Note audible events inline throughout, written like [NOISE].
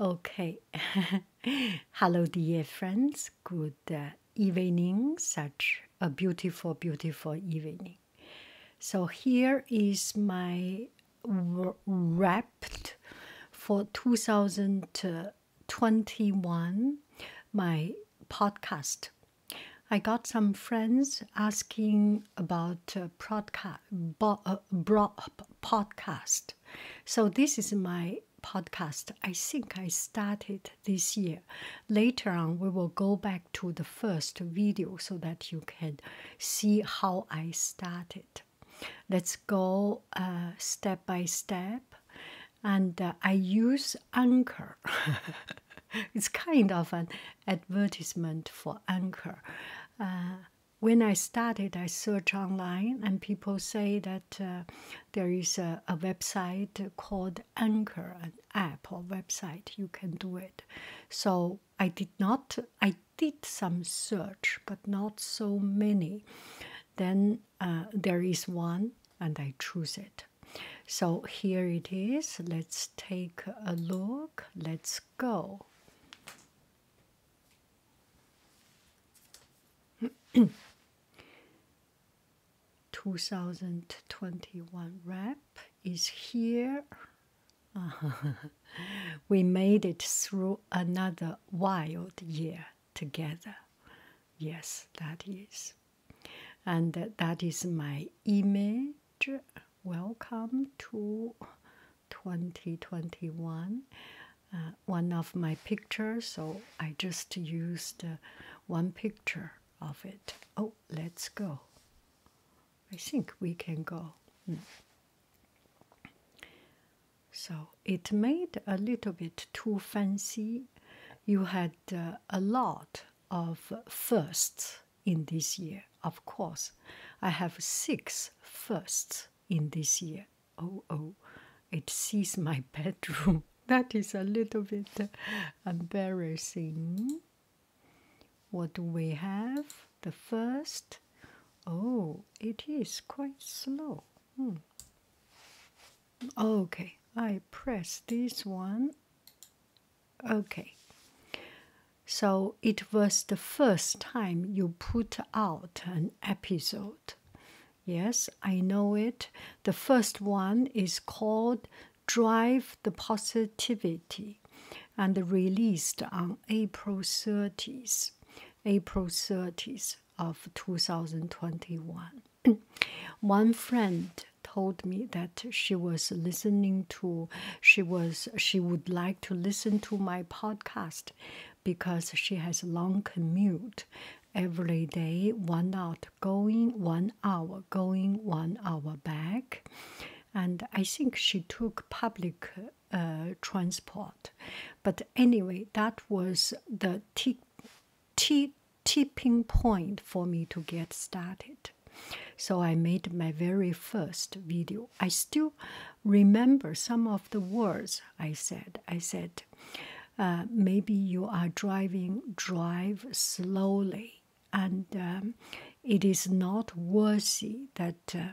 Okay, [LAUGHS] hello, dear friends. Good uh, evening. Such a beautiful, beautiful evening. So, here is my wrapped for 2021 my podcast. I got some friends asking about uh, podcast so this is my podcast. I think I started this year. Later on, we will go back to the first video so that you can see how I started. Let's go uh, step by step. And uh, I use Anchor. [LAUGHS] it's kind of an advertisement for Anchor. Uh, when I started, I searched online, and people say that uh, there is a, website called Anchor, an app or website. You can do it. So I did not. I did some search, but not so many. Then uh, there is one, and I choose it. So here it is. Let's take a look. Let's go. [COUGHS] 2021 wrap is here. [LAUGHS] we made it through another wild year together. Yes, that is. And that is my image. Welcome to 2021 uh, one of my pictures so i just used uh, one picture of it oh let's go i think we can go hmm. so it made a little bit too fancy you had uh, a lot of firsts in this year of course i have six firsts in this year. Oh, oh, it sees my [LAUGHS] bedroom. That is a little bit uh, embarrassing. What do we have? The first. Oh, it is quite slow. Hmm. Okay, I press this one. Okay, so it was the first time you put out an episode. Yes, I know it. The first one is called Drive the Positivity and released on April 30th, April 30th of 2021. [CLEARS THROAT] One friend told me that she was listening to she was she would like to listen to my podcast because she has long commute every day, one out going, one hour going, one hour back. And I think she took public uh, transport. But anyway, that was the t tipping point for me to get started. So I made my very first video. I still remember some of the words I said. I said, uh, maybe you are driving, drive slowly, and um, it is not worthy that uh,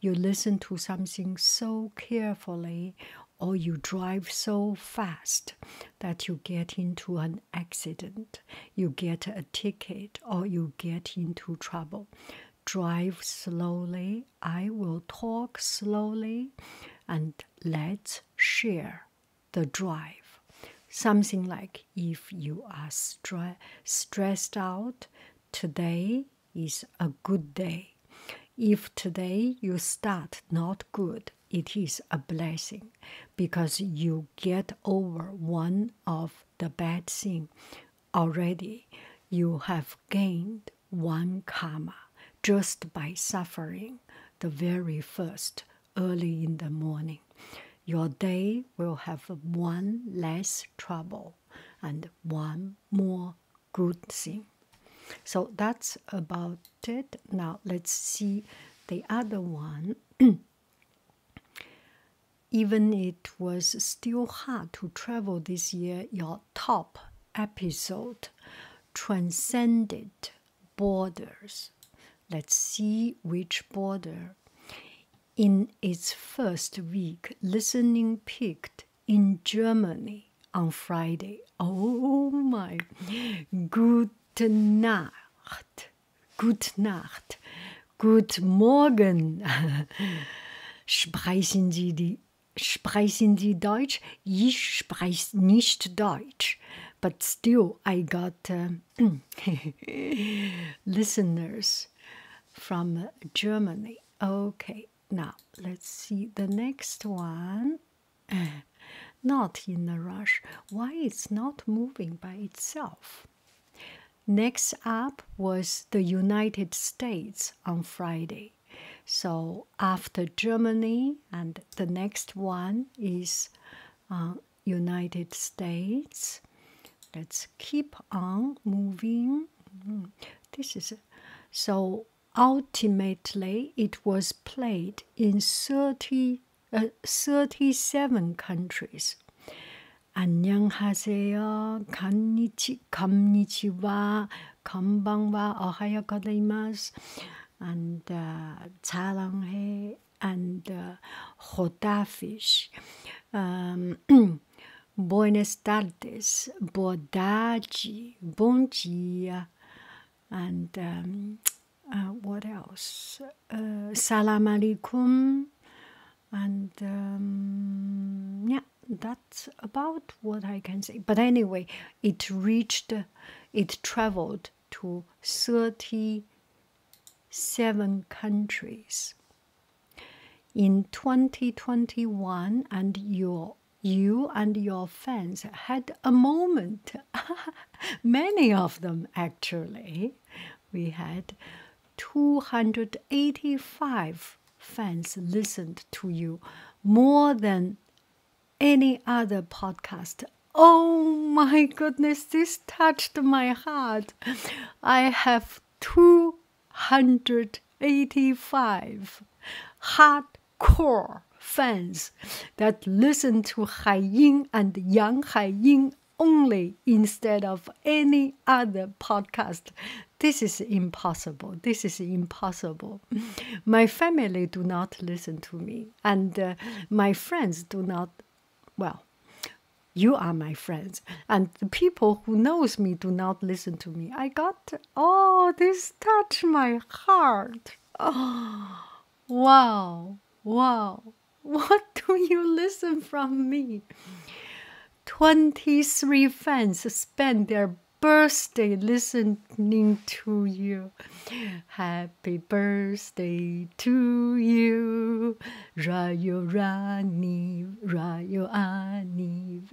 you listen to something so carefully or you drive so fast that you get into an accident, you get a ticket, or you get into trouble. Drive slowly I will talk slowly and let's share the drive. Something like if you are stressed out, today is a good day. If today you start not good, it is a blessing because you get over one of the bad thing already you have gained one karma just by suffering the very first early in the morning. Your day will have one less trouble and one more good thing. So that's about it. Now let's see the other one. [CLEARS THROAT] Even it was still hard to travel this year, top episode transcended borders. Let's see which border. In its first week, listening peaked in Germany on Friday. Oh my! Gute Nacht! Gute Nacht! Good Morgen! [LAUGHS] Sprechen Sie die sprechen Sie Deutsch? Ich spreche nicht Deutsch, but still I got uh, [CLEARS THROAT] listeners from Germany. Okay, now let's see the next one. [CLEARS THROAT] Not in a rush. Why it's not moving by itself? Next up was the United States on Friday. So after Germany, and the next one is uh, United States. Let's keep on moving. Mm-hmm. This is so. Ultimately, it was played in 30, uh, 37 countries. ち、こんにちは、こんばんは、おはようございます。And uh, 사랑해 and uh, uh 호다피시. Um, [CLEARS THROAT] Buenas tardes, boa tarde, and um, uh, what else? Uh, salam alaikum, and um, yeah, that's about what I can say. But anyway, it reached, it traveled to 37 countries. In 2021, and your you and your fans had a moment. [LAUGHS] Many of them, actually. We had 285 fans listened to you more than any other podcast. Oh my goodness, this touched my heart. I have 285 hardcore fans that listen to Hai Ying and Yang Hai Ying only instead of any other podcast. This is impossible. This is impossible. My family do not listen to me, and uh, my friends do not. Well, you are my friends, and the people who knows me do not listen to me. I got oh, this touch my heart. Oh, wow, wow. [LAUGHS] What do you listen from me? 23 fans spend their birthday listening to you. Happy birthday to you. Joyeux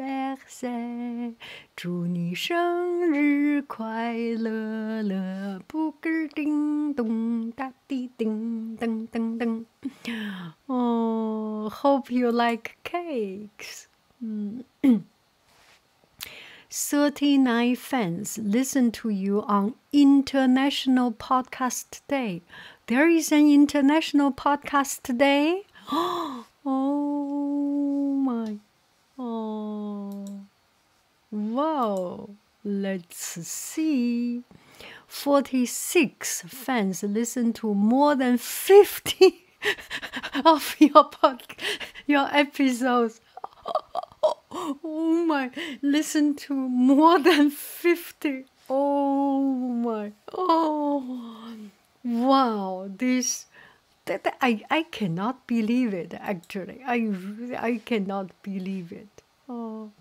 anniversaire. 祝你生日快乐乐，布个叮咚哒滴叮噔噔噔。Oh, hope you like cakes. 39 fans listen to you on International Podcast Day. There is an International Podcast Day. [GASPS] Oh my. Oh. Wow. Let's see. 46 fans listen to more than 50 [LAUGHS] of your pod, your episodes. [LAUGHS] Oh my, listen to more than 50. Oh my. Oh. Wow, this that, I I cannot believe it actually. I I cannot believe it. Oh.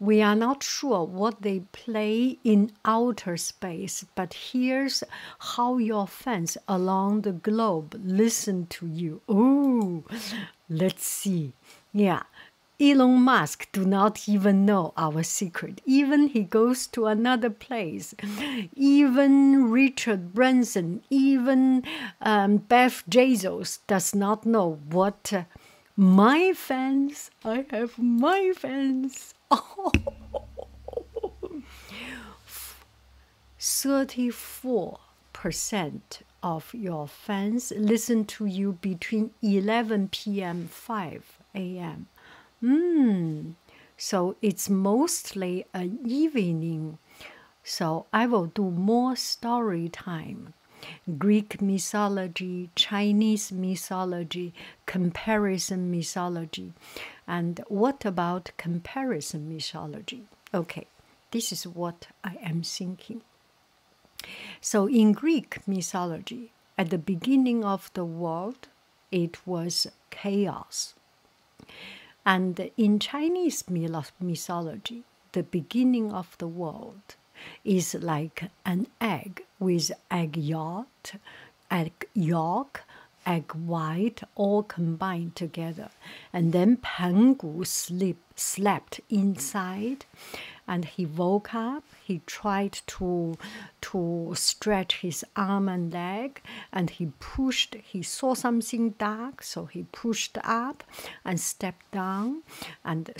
We are not sure what they play in outer space space, but here's how your fans along the globe listen to you. Oh, let's see. Yeah. Elon Musk do not even know our secret. Even he goes to another place. Even Richard Branson, even Beth um, Jesus does not know what uh, my fans I have my fans. [LAUGHS] Oh. 34% of your fans listen to you between 11 p.m. 5 a.m. Mm. So it's mostly an evening. So I will do more story time. Greek mythology, Chinese mythology, comparison mythology. And what about comparison mythology? Okay, this is what I am thinking. So, in Greek mythology, at the beginning of the world, it was chaos. And in Chinese mythology, the beginning of the world is like an egg with egg yolk egg yolk, egg white all combined together. And then Pangu slept inside and he woke up. He tried to, to stretch his arm and leg and he pushed. He saw something dark, so he pushed up and stepped down and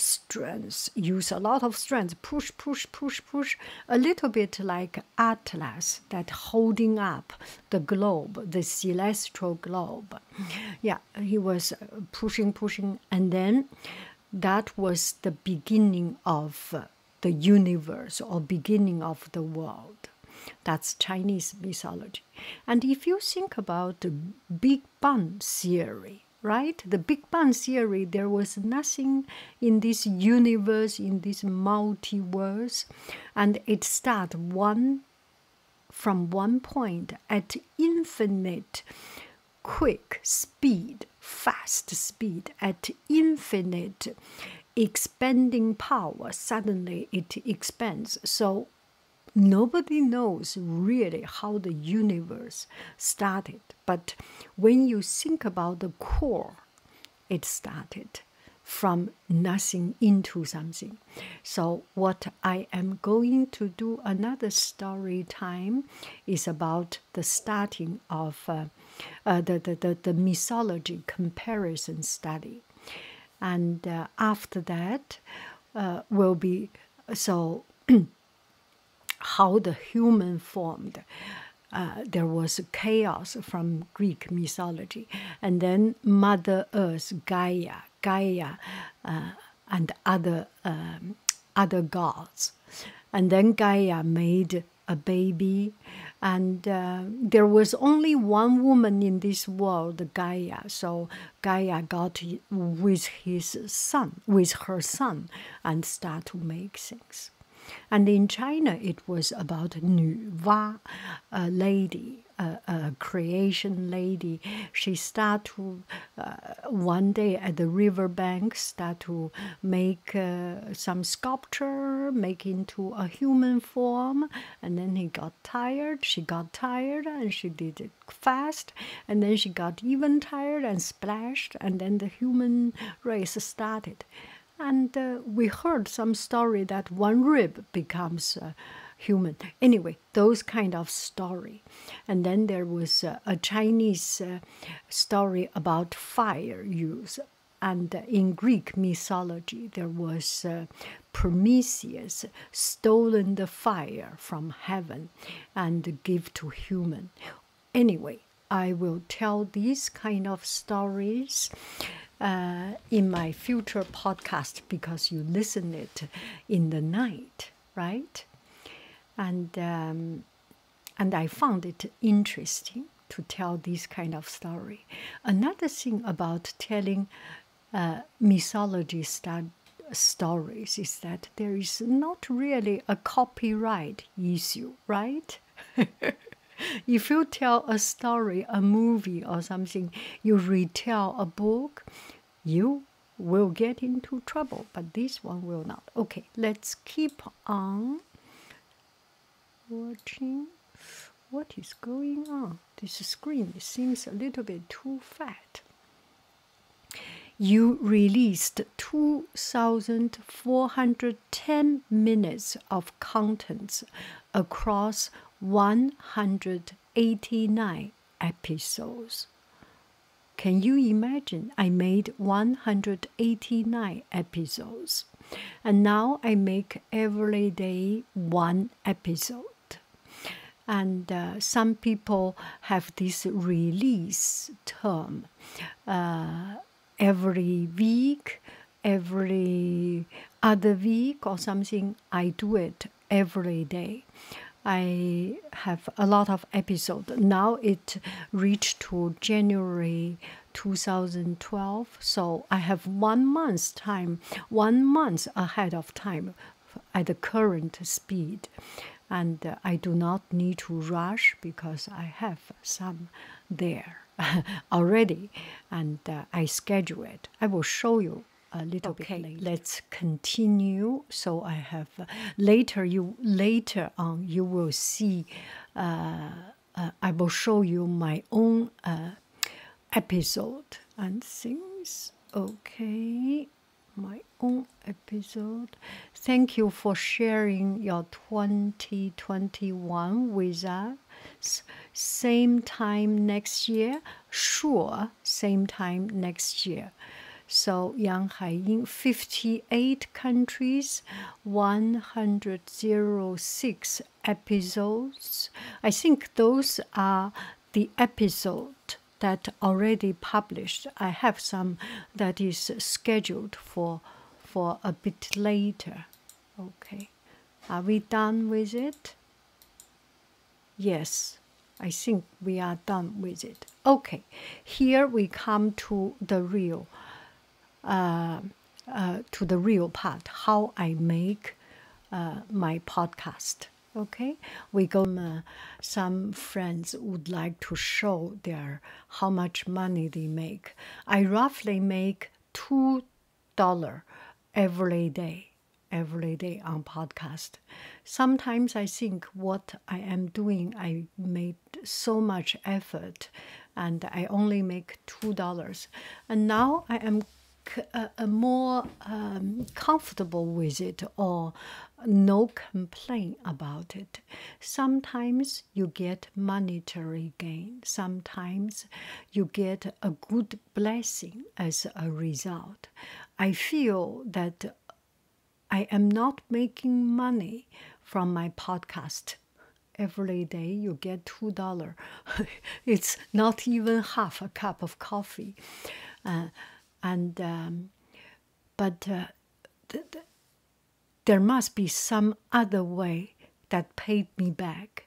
use a lot of strength, push, push, push, push, a little bit like atlas that holding up the globe, the celestial globe. Yeah, he was uh, pushing, pushing, and then that was the beginning of uh, the universe or beginning of the world. That's Chinese mythology. And if you think about the Big Bang theory, right? The Big Bang theory, there was nothing in this universe, in this multiverse, and it starts one from one point at infinite quick speed, fast speed, at infinite expanding power. Suddenly it expands. So nobody knows really how the universe started. But when you think about the core, it started from nothing into something. So, what I am going to do another story time is about the starting of uh, uh, the, the, the, mythology comparison study. And uh, after that, will be so [CLEARS THROAT] how the human formed uh, there was chaos from Greek mythology, and then Mother Earth, Gaia, Gaia, uh, and other um, other gods, and then Gaia made a baby, and uh, there was only one woman in this world, Gaia. So Gaia got with his son, with her son, and start to make things. And in China, it was about Nu Va, a lady, a, creation lady. She started uh, one day at the riverbank, started to make uh, some sculpture, make into a human form. And then he got tired. She got tired and she did it fast. And then she got even tired and splashed. And then the human race started and uh, we heard some story that one rib becomes uh, human anyway those kind of story and then there was uh, a chinese story about fire use and in greek mythology there was prometheus stolen the fire from heaven and give to human anyway, I will tell these kind of stories uh, in my future podcast because you listen it in the night, right? And um, and I found it interesting to tell this kind of story. Another thing about telling uh, mythology st stories is that there is not really a copyright issue, right? [LAUGHS] if you tell a story, a movie, or something, you retell a book, you will get into trouble, but this one will not. Okay, let's keep on watching what is going on. This screen seems a little bit too fat. You released 2,400 10 minutes of contents across 189 episodes. Can you imagine? I made 189 episodes. And now I make every day one episode. And uh, some people have this release term uh, every week every other week or something. I do it every day. I have a lot of episodes. Now it reached to January 2012, so I have one month's time, one month ahead of time at the current speed. And uh, I do not need to rush because I have some there. [LAUGHS] already, and uh, I schedule it. I will show you a little bit later. Let's continue. So I have uh, later you later on you will see. Uh, I will show you my own episode and things. Okay, my own episode. Thank you for sharing your 2021 with us. Same time next year, sure, same time next year. So Yang Haiying, 58 countries, 106 episodes. I think those are the episode that already published. I have some that is scheduled for for a bit later. Okay, are we done with it? Yes, I think we are done with it. Okay, here we come to the real, uh, uh, to the real part. How I make uh, my podcast. Okay, we go. Uh, some friends would like to show their how much money they make. I roughly make two dollar every day every day on podcast sometimes i think what i am doing i made so much effort and i only make two dollars and now i am uh, uh, more um, comfortable with it or no complaint about it sometimes you get monetary gain, sometimes you get a good blessing as a result. I feel that I am not making money from my podcast. Every day you get $2. [LAUGHS] it's not even half a cup of coffee. Uh, and um, but uh, there must be some other way that paid me back.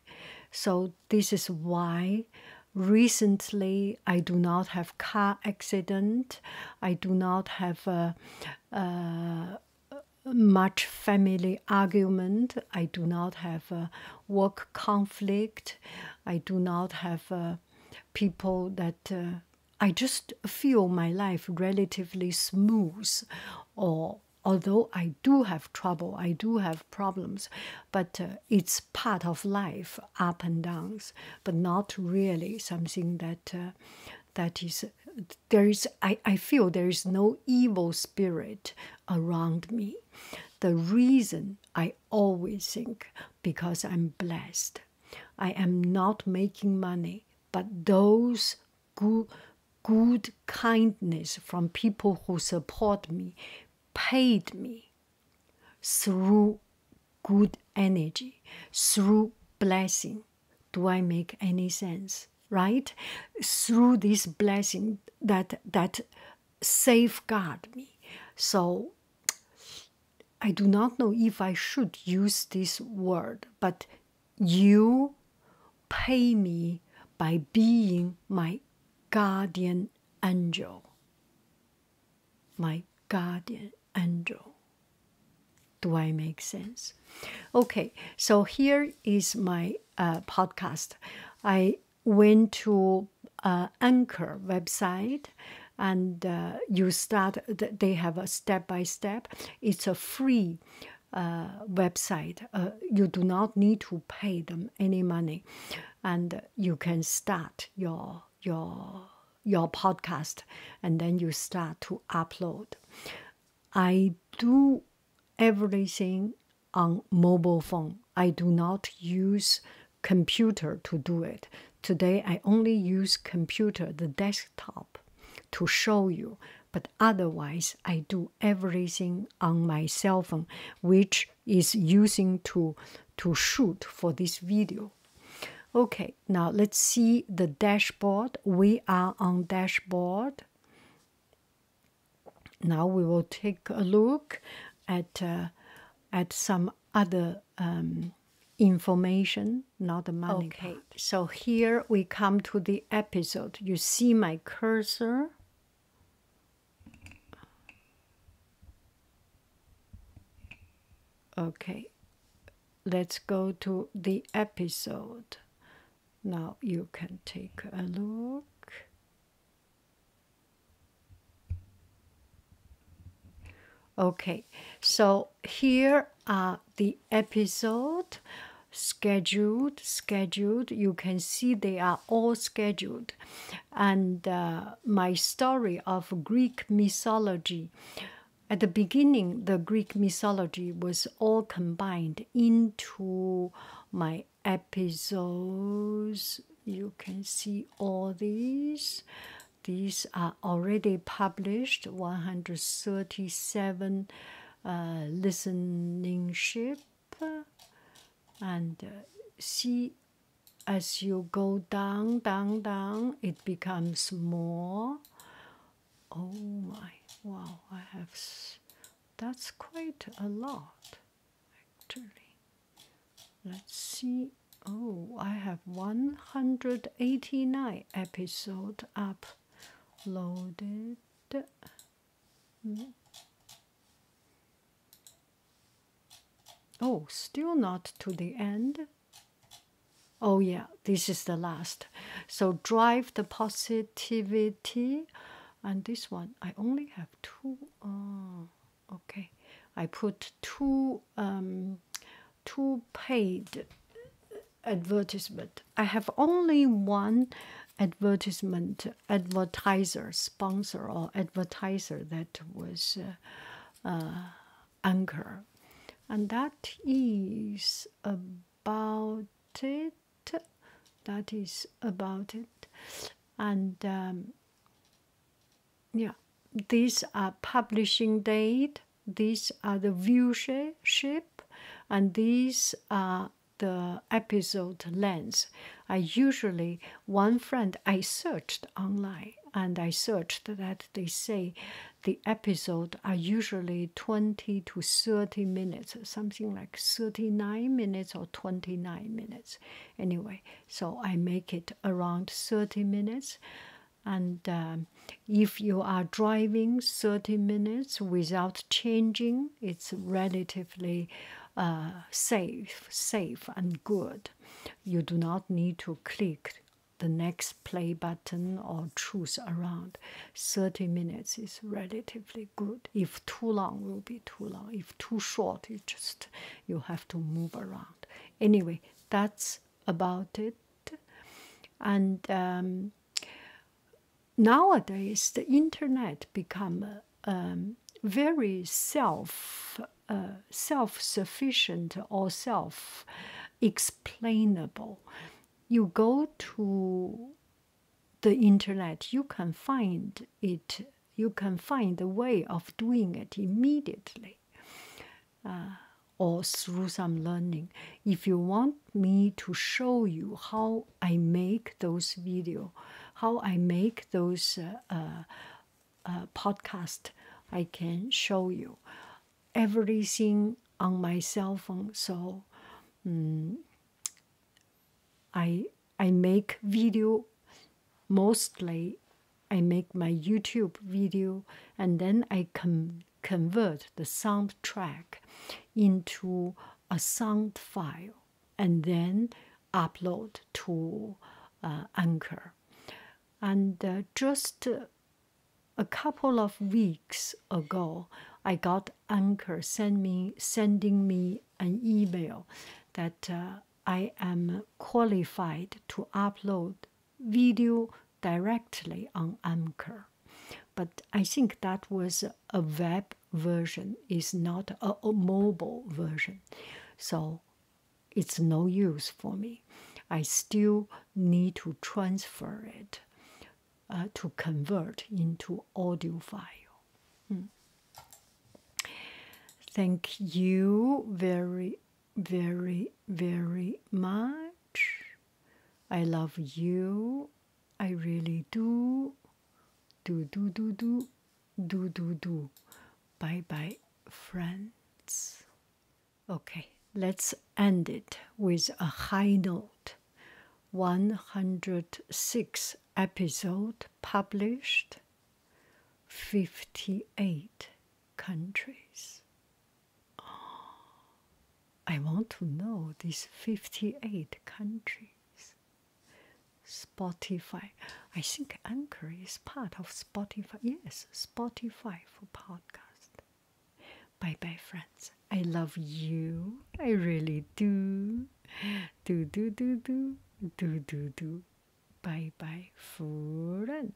So, this is why recently I do not have car accident. I do not have a, much family argument. I do not have a work conflict. I do not have uh, people that uh, I just feel my life relatively smooth or although I do have trouble, I do have problems, but uh, it's part of life, up and downs, but not really something that uh, that is there is I, I feel there is no evil spirit around me. The reason I always think because I'm blessed. I am not making money, but those good, good kindness from people who support me, paid me through good energy, through blessing. Do I make any sense? Right? Through this blessing that that safeguard me. So I do not know if I should use this word, but you pay me by being my guardian angel. My guardian angel. Do I make sense? Okay, so here is my uh, podcast. I went to uh, Anchor website and uh, you start, they have a step by step. It's a free uh, website. Uh, you do not need to pay them any money, and you can start your your your podcast, and then you start to upload. I do everything on mobile phone. I do not use computer to do it. Today I only use computer, the desktop to show you, but otherwise, I do everything on my cell phone, which is using to to shoot for this video. Okay, now let's see the dashboard. We are on dashboard. Now we will take a look at uh, at some other um, information, not the money. Okay, so here we come to the episode. You see my cursor. Okay, let's go to the episode. Now you can take a look. Okay, so here the episode scheduled scheduled you can see they are all scheduled and uh, my story of greek mythology at the beginning the greek mythology was all combined into my episodes you can see all these these are already published 137 uh, listening ship and uh, see as you go down down down it becomes more oh my wow i have that's quite a lot actually let's see oh i have 189 episode uploaded Oh, still not to the end. Oh, yeah, this is the last. So drive the positivity. And this one, I only have two. Oh, okay. I put two, um, two paid advertisement. I have only one advertisement advertiser sponsor or advertiser that was uh, uh, Anchor, and that is about it. That is about it, and um, yeah, these are publishing date. These are the viewership, and these are the episode length. I usually, one friend I searched online and I searched that they say the episode are usually 20 to 30 minutes, something like 39 minutes or 29 minutes. Anyway, so I make it around 30 minutes. And um, if you are driving 30 minutes without changing, it's relatively uh, safe, safe and good. You do not need to click the next play button or choose around. 30 minutes is relatively good. If too long will be too long. If too short, you just you have to move around. Anyway, that's about it. And um, nowadays the internet become um, very self uh, self sufficient or self explainable. You go to the internet, you can find it. You can find the way of doing it immediately, uh, or through some learning if you want me to show you how I make those video, how I make those uh, uh, uh, podcast, I can show you everything on my cell phone. So mm, I I make video mostly. I make my YouTube video and then I can convert the soundtrack into a sound file and then upload to uh, Anchor. And uh, just a couple of weeks ago, I got Anchor send me, sending me an email that uh, I am qualified to upload video directly on Anchor. But I think that was a web version, is not a, mobile version. So it's no use for me. I still need to transfer it uh, to convert into audio file. Hmm. Thank you very, very, very much. I love you. I really do. Do do do do do do do. Bye bye, friends. Okay, let's end it with a high note. 106 episode published 58 countries. I want to know these 58 countries. Spotify. I think Anchor is part of Spotify. Yes, Spotify for podcast. Bye bye, friends. I love you. I really do. Do, do, do, do. Do, do, do. Bye bye, friend.